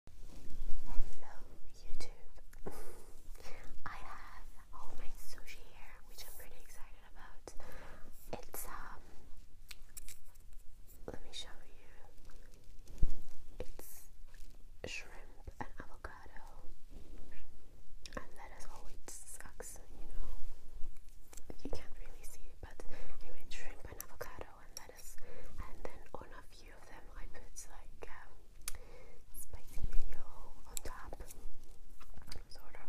Hello YouTube. I have homemade sushi here, which I'm pretty excited about. It's um let me show you. It's shrimp and avocado. And lettuce always sucks, you know. You can't really see it, but anyway, shrimp and avocado and lettuce, and then on a few of them I put like um, spicy mayo on top, sort of.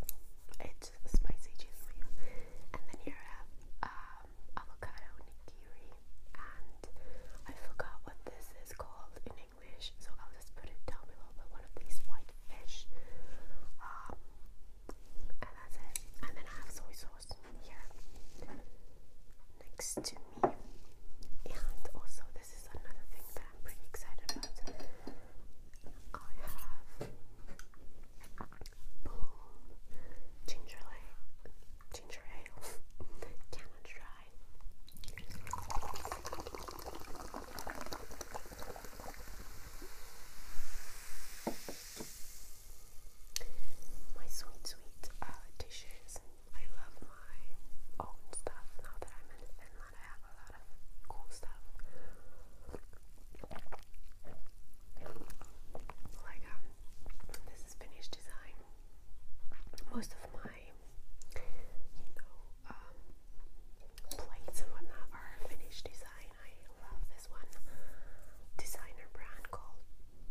It's spicy cheese mayo, and then here I have um, avocado nigiri, and I forgot what this is called in English, so I'll just put it down below. But one of these white fish. Um, and that's it. And then I have soy sauce here next to me. And also, this is another thing that I'm pretty excited about. I have blue ginger ale, ginger ale, cannot dry my sweet, sweet uh, dishes. I love my own stuff. Now that I'm in Finland, I have a lot of cool stuff. Like, um, this is Finnish design. Most of my, you know, um, plates and whatnot are Finnish design. I love this one designer brand called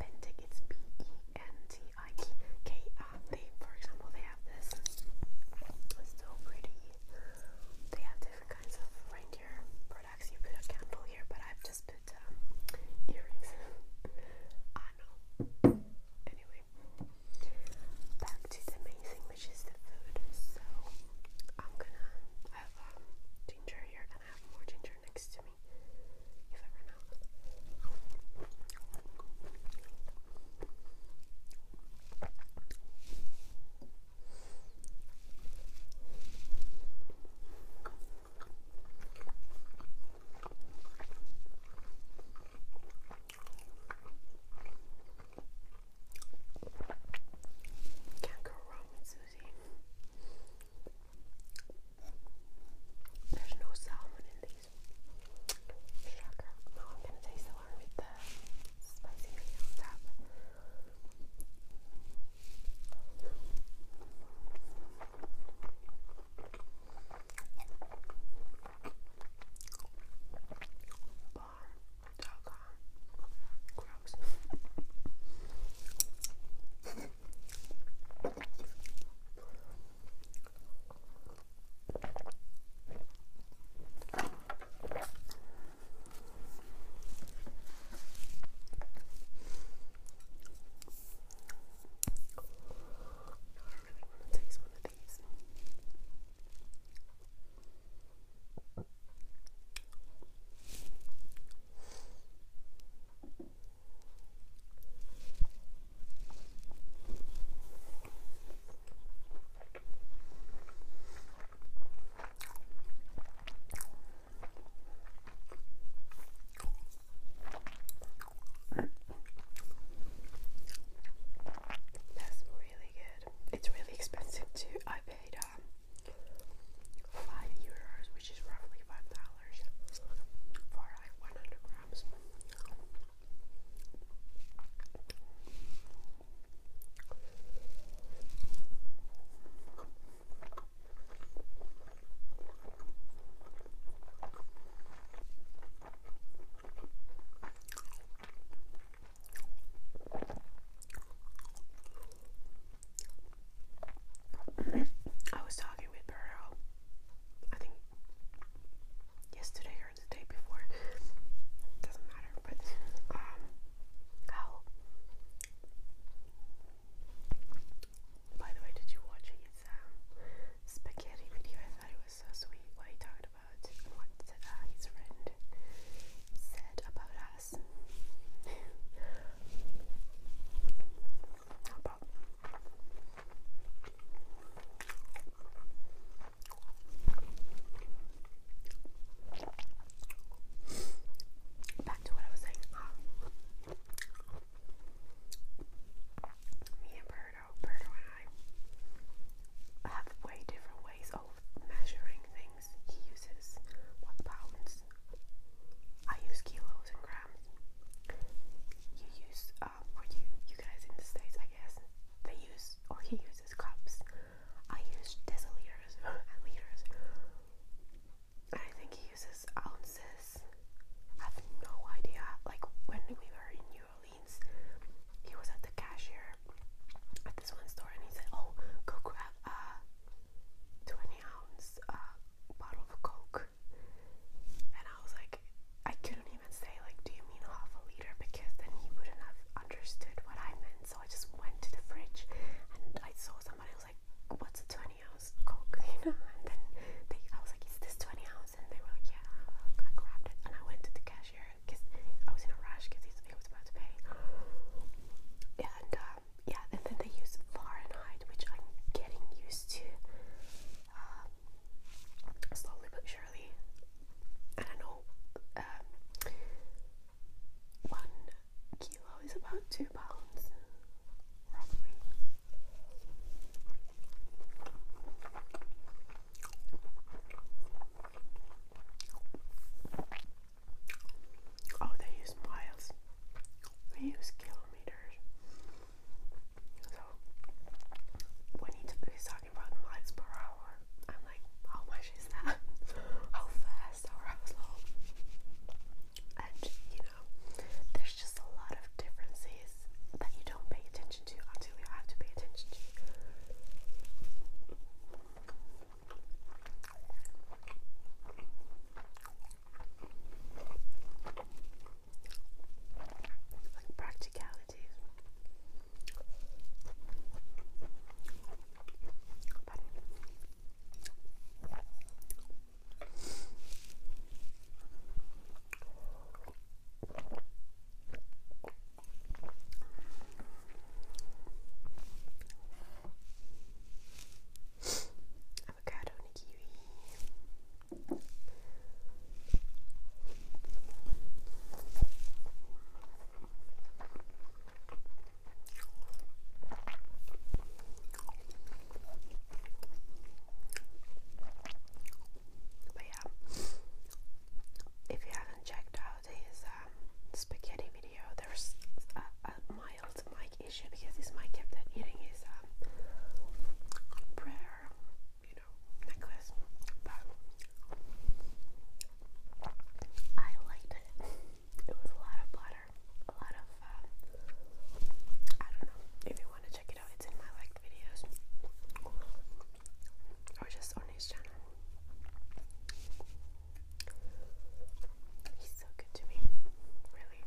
Pentic, it's P E N T I K. for example, they have this. It's so pretty. They have different kinds of reindeer products. You put a candle here, but I've just put um, earrings. I know. Ah, anyway, back to the main which is the food. So I'm gonna have um, ginger here, and have more ginger next to me me if Can't go wrong with Susie. There's no salmon in these. No, I'm gonna taste the one with the spicy meat on top. Bomb.com. Gross want to taste one of these. That's really good. It's really expensive too. I paid um, five euros, which is roughly five dollars for 100 grams. I was talking with Burrow, um, I think yesterday or the day before, doesn't matter, but um, how. By the way, did you watch his um, spaghetti video? I thought it was so sweet what he talked about and what uh, his friend said about us. But back to what I was saying. Ah. me and Birdo, Birdo and I have way different ways of measuring things. He uses what pounds. I use kilos and you use, uh, or you, you guys in the States, I guess, they use, or he uses cups. I use deciliters and liters. I think he uses ounces. I have no idea. Like when we were in New Orleans, he was at the cashier at this one store and he said, Oh, go grab a 20 ounce uh, bottle of Coke. And I was like, I couldn't even say, like, do you mean half a liter? Because then he wouldn't have understood what I meant. So I just went to the fridge and I saw somebody was like, what's a 20 ounce Coke? You know? And then they, I was like, is this 20 ounce? And they were like, yeah. I grabbed it and I went to the cashier because I was in a rush because it was about to pay. And um, yeah, and then they use Fahrenheit, which I'm getting used to um, slowly but surely. I don't know, um, one kilo is about two pounds, roughly. Oh, they use miles we use kilometers. So when he's talking about miles per hour, I'm like, how much is that? how fast or how slow? And you know, there's just a lot of differences that you don't pay attention to until you have to pay attention to like practicalities avocado and But yeah, if you haven't checked out his um, spaghetti video, there's mild mic issue because this mic kept on eating his um, prayer, you know, necklace. But I liked it. It was a lot of butter, a lot of, um, I don't know, if you want to check it out, it's in my liked videos. Or just on his channel. He's so good to me, really.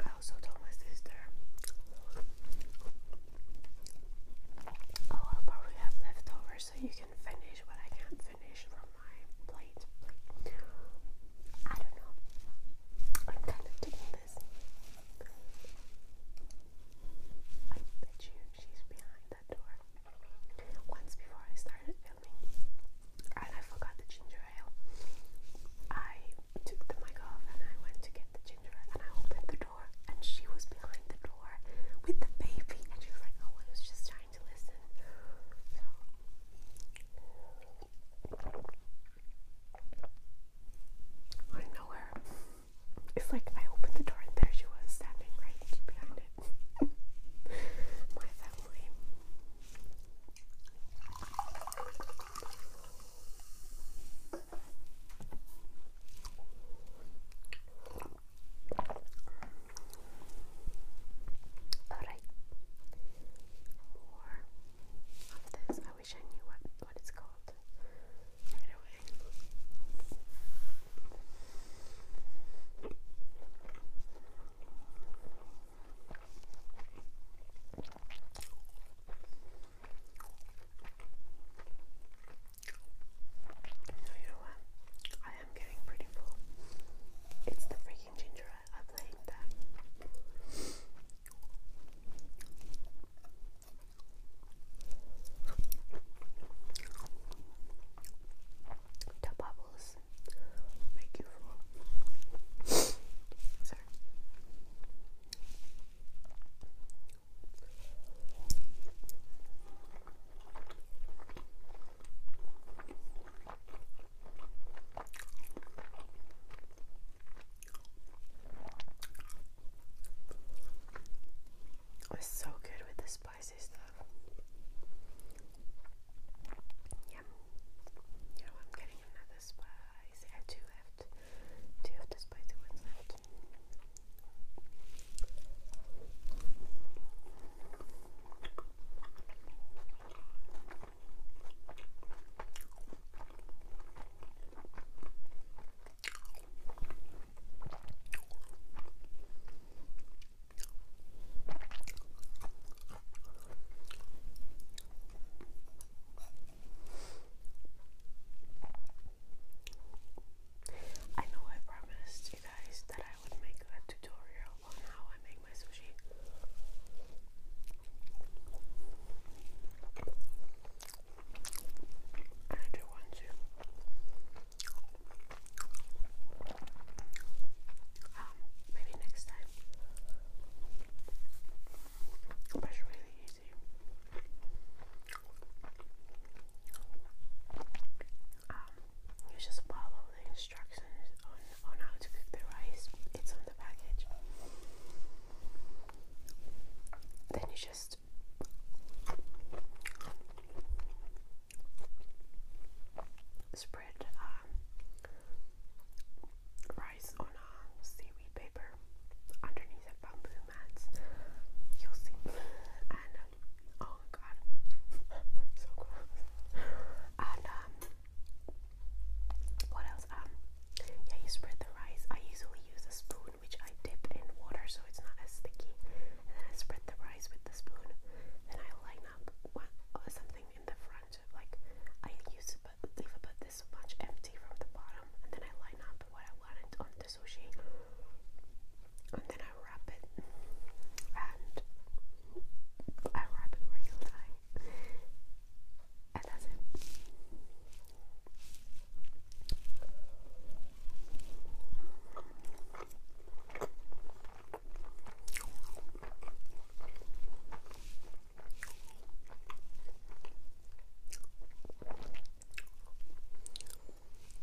I also told my sister, oh, I'll probably have leftovers so you can finish what I can't finish from my plate. I don't know. I'm kind of digging this. I bet you she's behind that door. Once before I started filming, and I forgot the ginger ale. I took the mic off and I went to get the ginger and I opened the door and she was behind the door with the baby and she was like, oh, I was just trying to listen. So I know her. It's like I opened the door and there she was standing right behind it. My family. Alright. More of this. I wish I knew what, what it's called right away. No, you know what? I am getting pretty full. It's the freaking ginger ale. I blame that. The bubbles make you full. Sorry was so good with the spicy stuff. Yeah. You know, I'm getting another the spies. I have two left. the spies and left. I know I promised you guys that I would make a tutorial on how I make my sushi. I do want to. Um, maybe next time it's um, just follow the instructions on, on how to cook the rice. It's on the package. Then you just spread um, rice on a um, seaweed paper underneath a bamboo mat. You'll see. And um, oh god, so gross. And um, what else? Um, yeah, you spread the rice. I usually use a spoon, which I dip in water so it's not as sticky. And then I spread the rice with the spoon. Then I line up uh, something in the front. Like I use but leave this much empty from the bottom, and then I line up what I wanted on the sushi, and then I wrap it, and I wrap it where you lie, and that's it.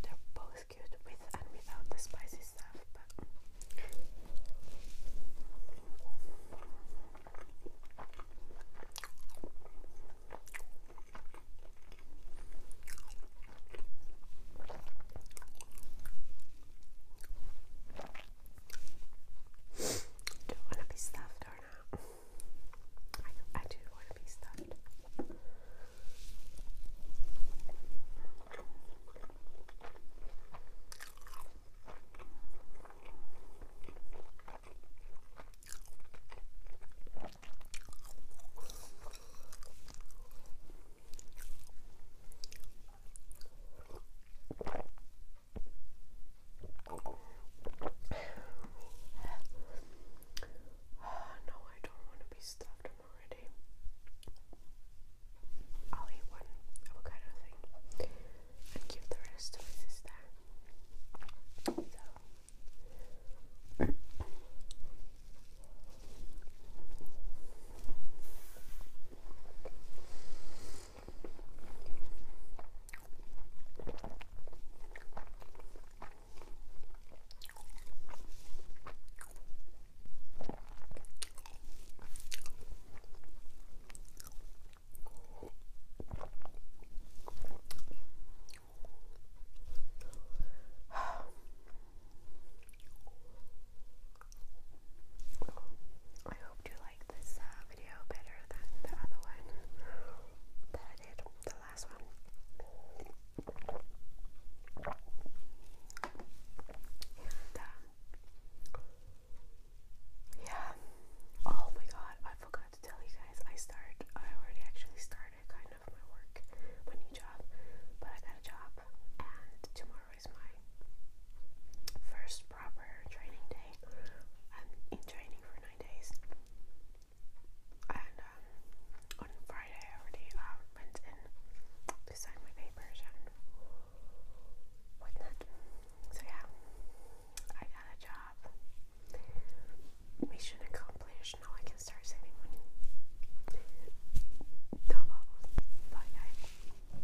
They're both good with and without the spicy stuff, but don't want to be stuffed or not. I, do want to be stuffed. Oh, no, I don't want to be stuffed. already. I'll eat one avocado thing and give the rest to my sister. I hope you like this uh, video better than the other one that I did, the last one. And, um, yeah. Oh my god, I forgot to tell you guys. I started, I already actually started kind of my work, my new job, but I got a job, and tomorrow tomorrow is my first proper training day. I'm in training for nine days. And um, on Friday, I already uh, went in to sign my papers and whatnot. So, yeah, I got a job. Mission accomplished. Now I can start saving money. Double. Bye, guys.